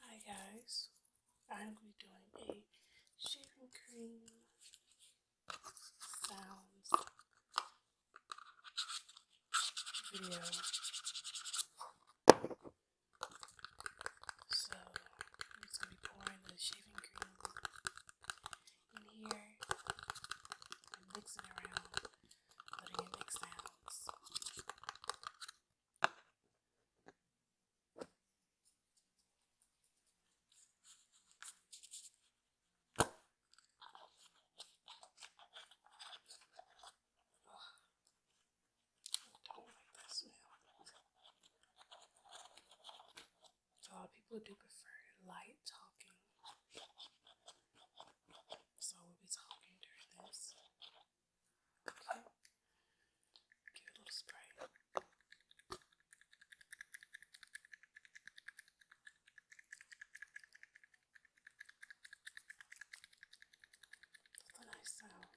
Hi guys, I'm going to be doing a shaving cream sounds video. So I'm just going to be pouring the shaving cream in here mixing around, letting it make sounds. So a lot of people do prefer light talking. So we'll be talking during this. Good luck. Give it a little spray. That's a nice sound.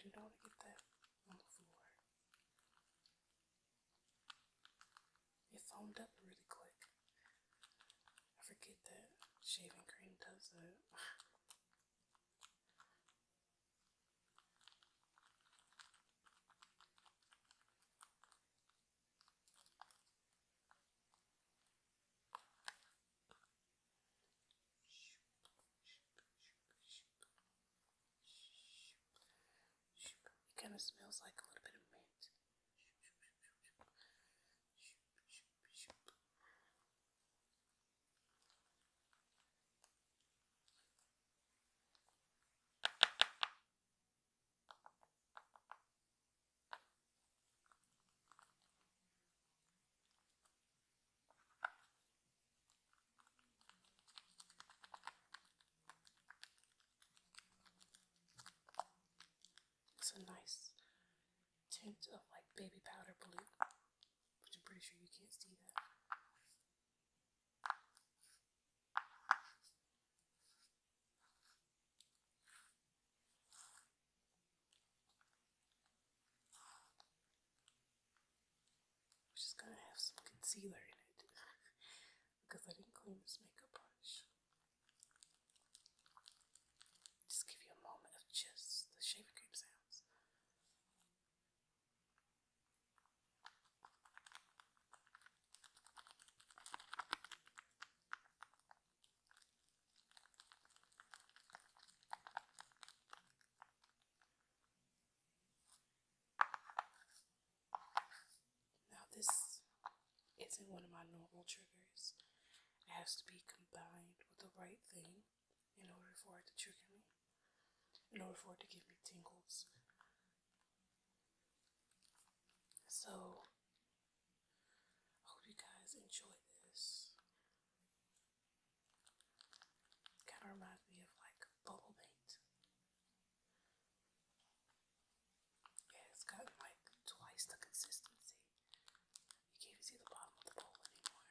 Did I get that on the floor? It foamed up really quick. I forget that shaving cream does that. It kind of smells like a little bit of mint. It's a nice tint of like baby powder blue. But I'm pretty sure you can't see that. Which is gonna have some concealer in it because I didn't clean this makeup brush. Just give you a moment of just the shaving cream sounds. Now, this isn't one of my normal triggers, it has to be combined with the right thing in order for it to trigger me, in order for it to give me tingles. So, I hope you guys enjoy this. Kind of reminds me of like bubble paint. Yeah, it's got like twice the consistency. You can't see the bottom of the bowl anymore.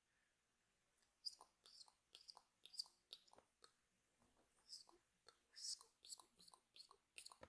Scoop, scoop, big old scoop.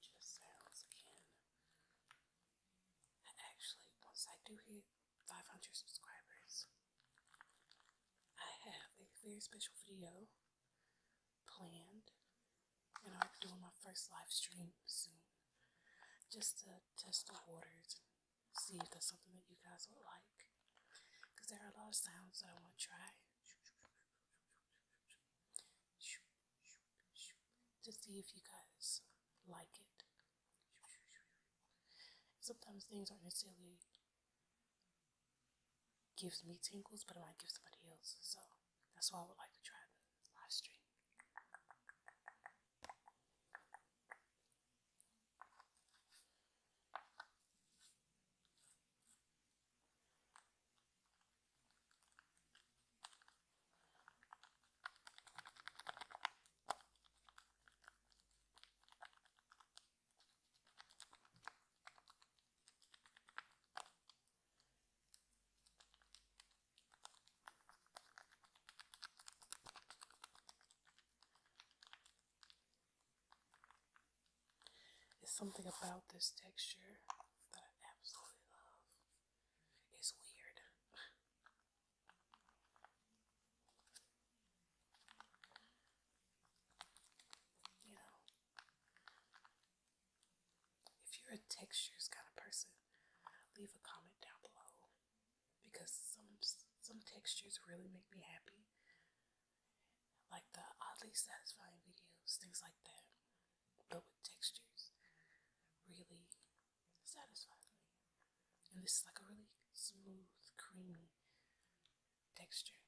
Just sounds again. Actually, once I do hit 500 subscribers, I have a very special video planned, and I'll be doing my first live stream soon, just to test the waters see if there's something that you guys would like. Cause there are a lot of sounds that I want to try, to see if you guys like it. Sometimes things aren't necessarily gives me tingles, but it might give somebody else. So that's why I would like to try the live stream. It's something about this texture that I absolutely love. It's weird. you know, if you're a textures kind of person, leave a comment down below because some some textures really make me happy. Like the oddly satisfying videos, things like that. But with textures really satisfies me. And this is like a really smooth, creamy texture.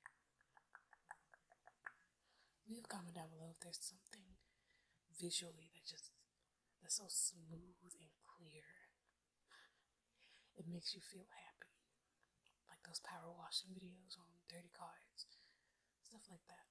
Leave a comment down below if there's something visually that just that's so smooth and clear. It makes you feel happy. Like those power washing videos on dirty cards. Stuff like that.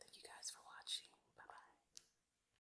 Thank you guys for watching. Bye bye.